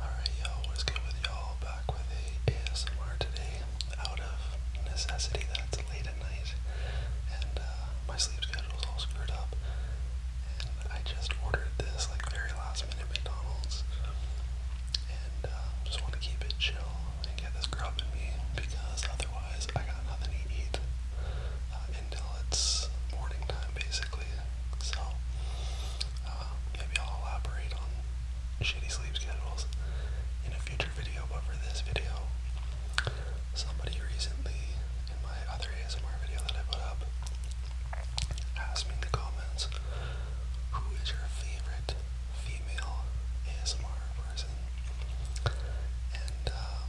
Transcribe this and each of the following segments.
Alright y'all, what's good with y'all? Back with the ASMR today out of necessity that's late at night and uh, my sleep schedule's all screwed up and I just ordered this like very last minute McDonald's and uh, just want to keep it chill and get this grub in me because otherwise I got nothing to eat uh, until it's morning time basically so uh, maybe I'll elaborate on shitty sleep schedules in a future video, but for this video, somebody recently in my other ASMR video that I put up asked me in the comments, who is your favorite female ASMR person? And um,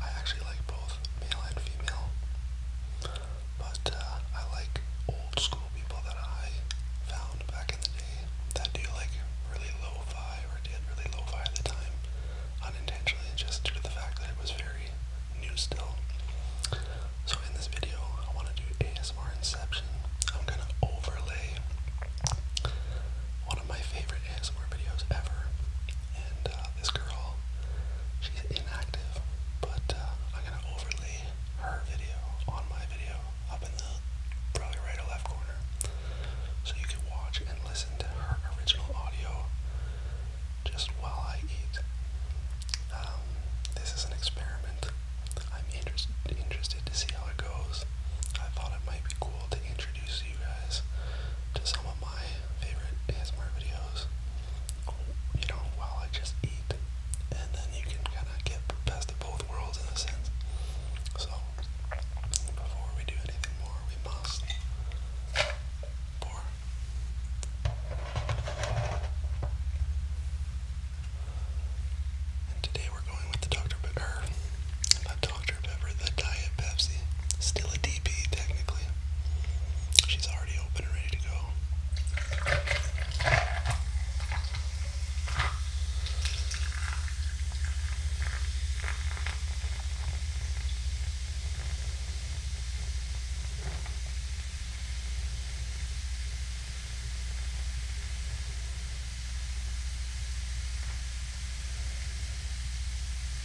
I actually like both male and female. But uh, I like old school people that I found back in the day that do like really lo-fi or did really lo-fi at the time unintentionally just due to the fact that it was very new still. So in this video, I want to do ASMR Inception. I'm going to overlay one of my favorite ASMR videos ever and uh, this girl. She's inactive, but uh, I'm gonna overlay her video on my video up in the probably right or left corner, so you can watch and listen to her original audio just while I eat. Um, this is an experiment. I'm interest interested to see how it goes. I thought it might be cool to introduce you guys to some of my favorite ASMR videos you know, while I just eat, and then you can kind of get best of both worlds in a sense. So, before we do anything more, we must pour. And today we're going with the Dr. Pepper, not Dr. Pepper, the Diet Pepsi. Still a DP, technically. She's already open ready to go.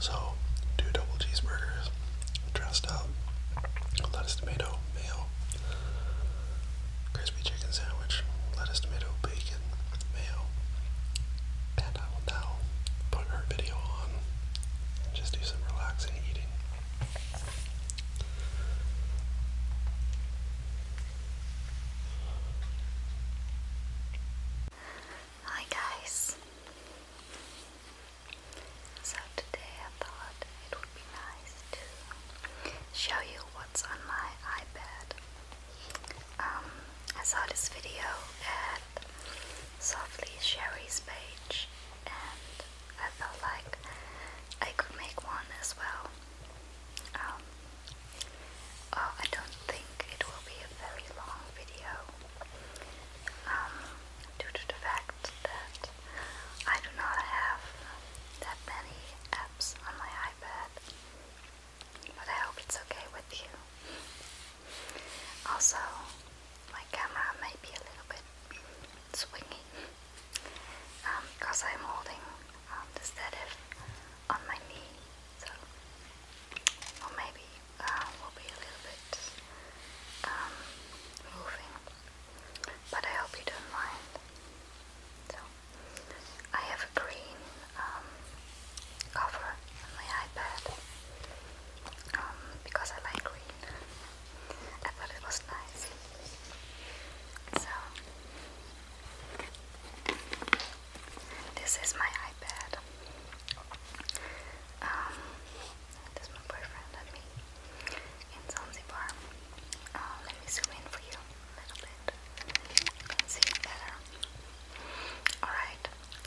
So, two double cheeseburgers, dressed up, lettuce, tomato, mayo, crispy chicken sandwich, lettuce, tomato, bacon, mayo. And I will now put her video on just do some relaxing eating. Hi guys. So today I thought it would be nice to show you what's on my iPad. Um, I saw this video at Softly Sherry's page and I felt like I could make one as well. Um, oh, I don't think it will be a very long video, um, due to the fact that I do not have that many apps on my iPad. But I hope it's okay with you. Also, my camera may be a little bit swingy because um, I'm holding um, the stative on my knee, so or maybe um, will be a little bit um, moving, but I hope you don't mind. So, I have a green um, cover on my iPad because I like green. I thought it was nice. So, this is my iPad. Um, that's my boyfriend and me in Zanzibar. Uh, let me zoom in for you a little bit. see it better. Um, alright,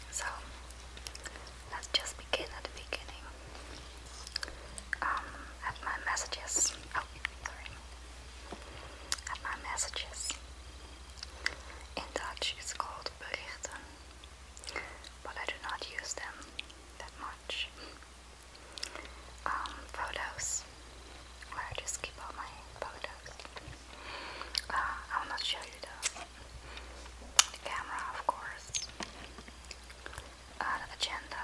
so let's just begin at the beginning. Um, at my messages. Oh, sorry. my messages in Dutch it's called berichten, but I do not use them that much. Um, photos, where I just keep all my photos. Uh, I will not show you those. the camera, of course. Uh, the agenda,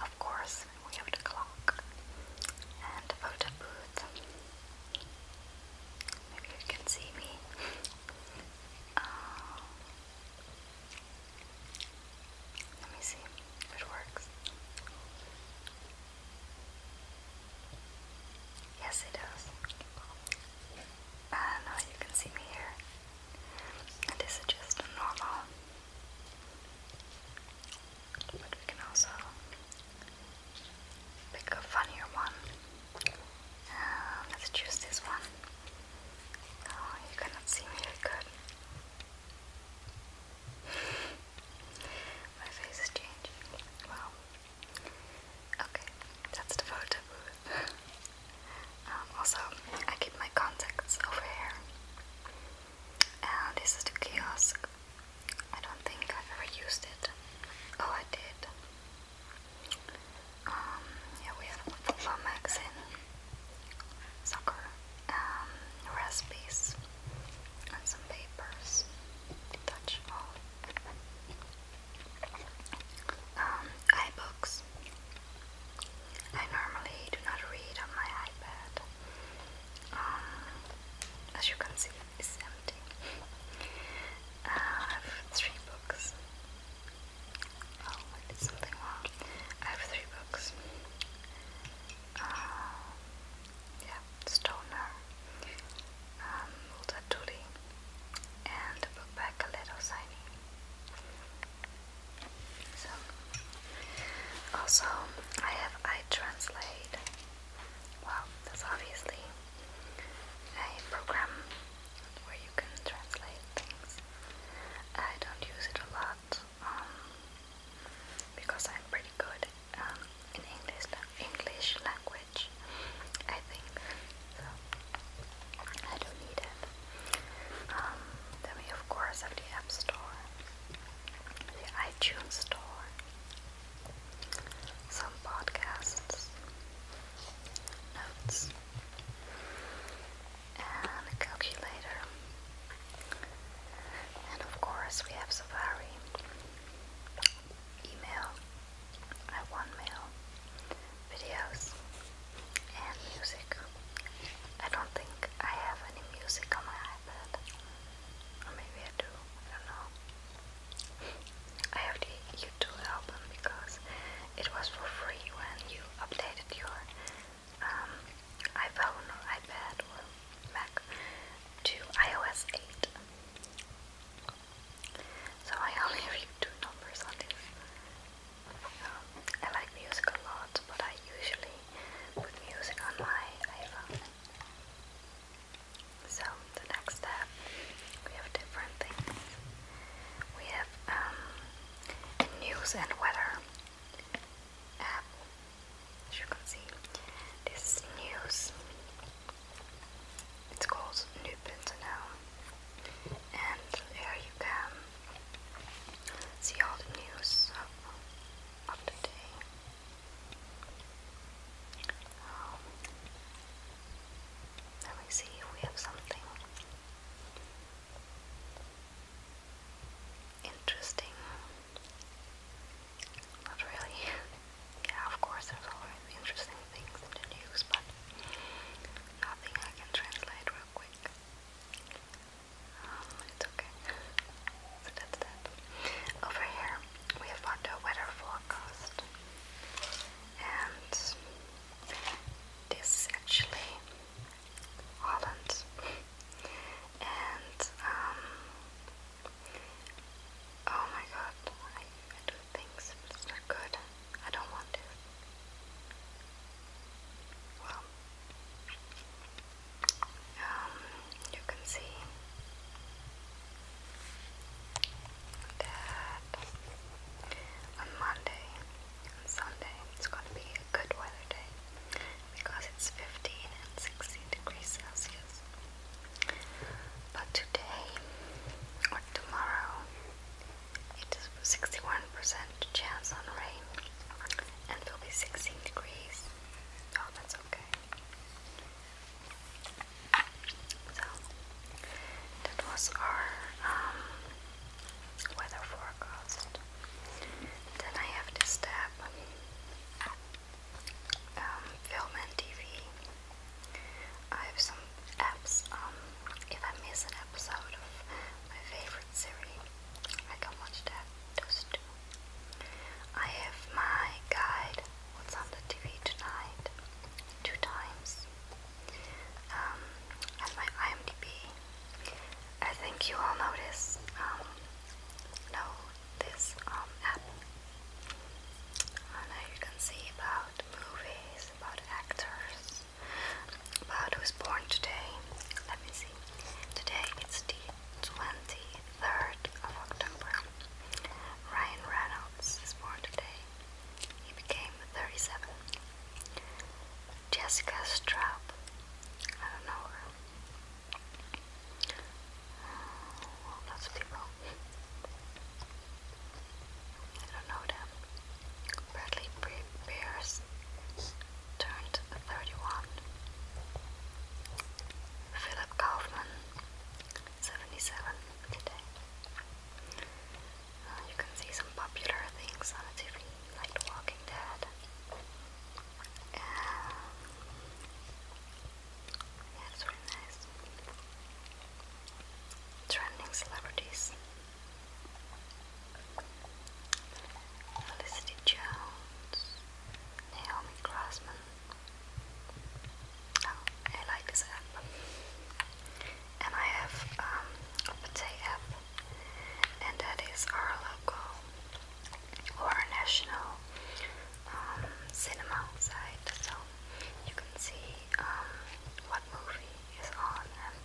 of course, we have the clock and the photo booth. Maybe you can see me. Um, let me see if it works. Yes, it does. Uh, now you can see me here. this is just normal. But we can also pick a funnier one. Um, let's choose this one. Oh, you cannot see me that good. My face is changing. Wow. Okay, that's the photo booth. Um, also, I keep my contacts over here. And this is the kiosk I don't think I've ever used it. Oh, I did. Um, yeah, we have football magazine, soccer, um, recipes, and some papers detachable. Um, iBooks. I normally do not read on my iPad. Um, as you can see, uh, I have three books. Oh, I did something wrong. I have three books. Uh, yeah, Stoner, um, and a book by Coletto Saini. So, also, I have I Translate well, that's obviously a program where you can translate things. I don't use it a lot um, because I'm pretty good um, in English English language. I think so. I don't need it. Um, then we of course have the App Store, the iTunes Store, some podcasts, notes, and a calculator. And of course, we have Safari, email, I want videos, and music. I don't think I have any music on my iPad. Or maybe I do, I don't know. I have the YouTube album because it was for free when you updated your um, iPhone or iPad or Mac to iOS 8. So I only read two numbers on this. Um, I like music a lot, but I usually with music on my iPhone. So the next step, we have different things. We have um, news and weather As you can see, this is news. It's called new.nl, and there you can see all the news Oh. let me see if we have something interesting. Not really. yeah, of course, there's always interesting things in the news, but nothing I can translate real quick. Um, it's okay. So that's that. Over here we have found the weather forecast. And this is actually Holland. and um, oh my god, I, I things that's not good. I don't want this. Well um, you can see that on Monday and Sunday it's going to be a good weather day because it's 15 and 16 degrees Celsius. But today or tomorrow it is 61% chance on rain. And it'll be 16 degrees. Oh, that's okay. So, that was our um, weather forecast. Then I have this tab um, film and TV. I have some apps. Um, if I miss an episode of my favorite favorite I can watch that, those I have my guide, what's on the TV tonight, two times. Um, and my IMDb. I think you all notice. um, know this um, app. And there you can see about movies, about actors, but was born today. Let me see. Today it's the 23rd of October. Ryan Reynolds is born today. He became 37. Jessica Straub. I don't know her. lots of people. I don't know them. Bradley Pierce turned 31. Philip Kaufman, 77 today. Uh, you can see some popular things on TV, like The Walking Dead. yeah, it's really nice. Trending celebrities. Felicity Jones, Naomi Grossman. Oh, I like this app. And I have um, a Pate app, and that is our local or our national um, cinema site, so you can see um, what movie is on and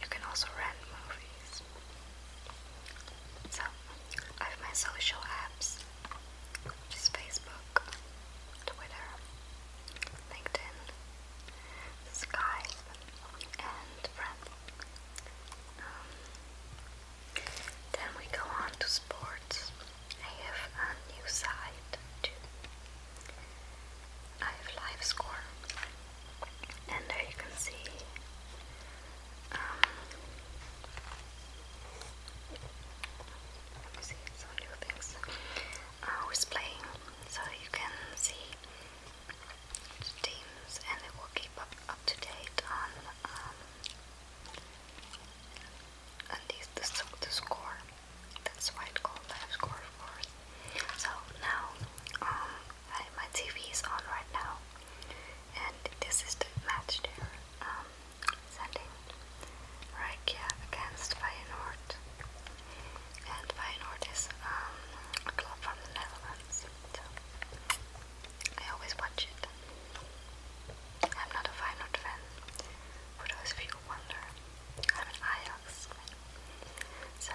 you can also rent movies. So, I have my social apps, which is Facebook, Twitter, LinkedIn, Skype, and Friend. Um, then we go on to sports. I have a new site too. I have live score, and there you can see um, let me see some new things. Uh, who's playing, so you can see teams, and it will keep up up to date on um, and these the score. That's why it's called live score, of course. So now, um, my TV is on right now, and this is the match there. Um, sending Rakia against Feyenoord, and Feyenoord is um, a club from the Netherlands. So I always watch it. I'm not a Feyenoord fan, for those of you who wonder. I'm an IELTS. So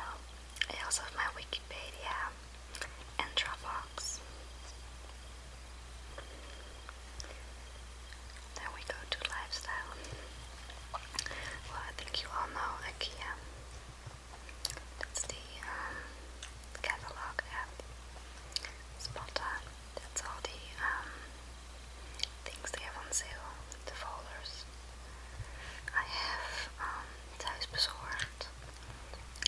I also have my Wikipedia and Dropbox. Then we go to lifestyle. Well, I think you all know IKEA. That's the um, catalog app. Spot all the um, things they have on sale, the folders. I have um,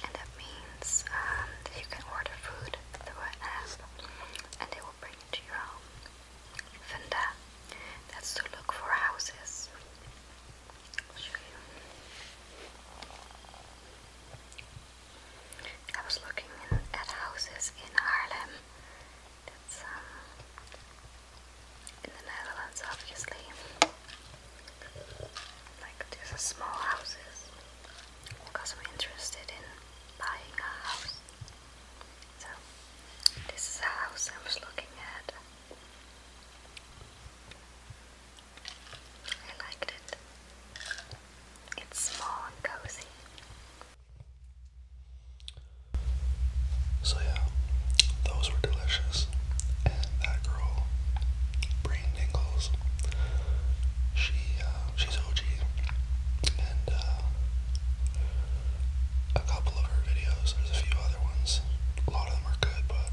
and that means um, you can order food through an and they will bring it to your home. Venda, that's to look for houses. i was looking at houses in Harlem. It's um uh, in the Netherlands obviously. Like there's a small houses because we're interested in buying a house. So this is a house I was looking at. I liked it. It's small and cozy. So yeah, those were delicious. And that girl, Breen Dingles, she uh, she's OG, and uh, a couple of her videos. There's a few other ones. A lot of them are good, but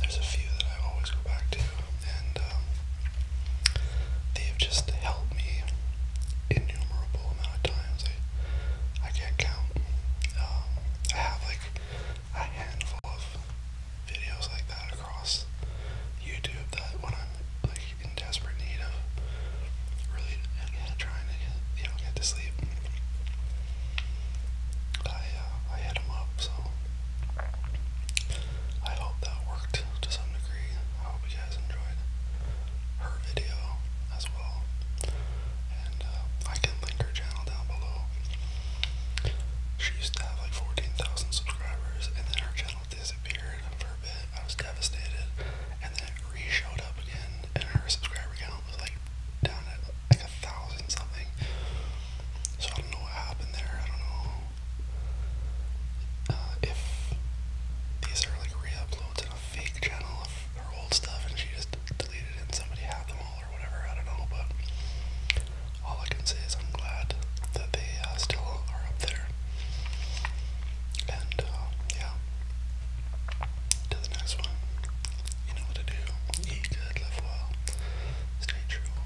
there's a few that I always go back to, and um, They've just helped me innumerable amount of times. I, can't count. Um, I have like a handful of videos like that across YouTube that when I'm like in desperate need of really again, trying to get, you know get to sleep, I uh, I hit them up. So I hope that worked to some degree. I hope you guys enjoyed her video as well. And uh, I can link her channel down below. She used to have like 14,000 subscribers, and then her channel disappeared for a bit. I was devastated, and then it re up again, and her subscriber count was like down at like a thousand something. So I don't know what happened there. I don't know uh, if these are like re-uploads a fake channel of her old stuff and she just deleted it somebody had them all or whatever, I don't know, but all I can say is I'm glad that they uh, still are up there. And uh, yeah, to the next one. You know what to do. Eat good, live well, stay true.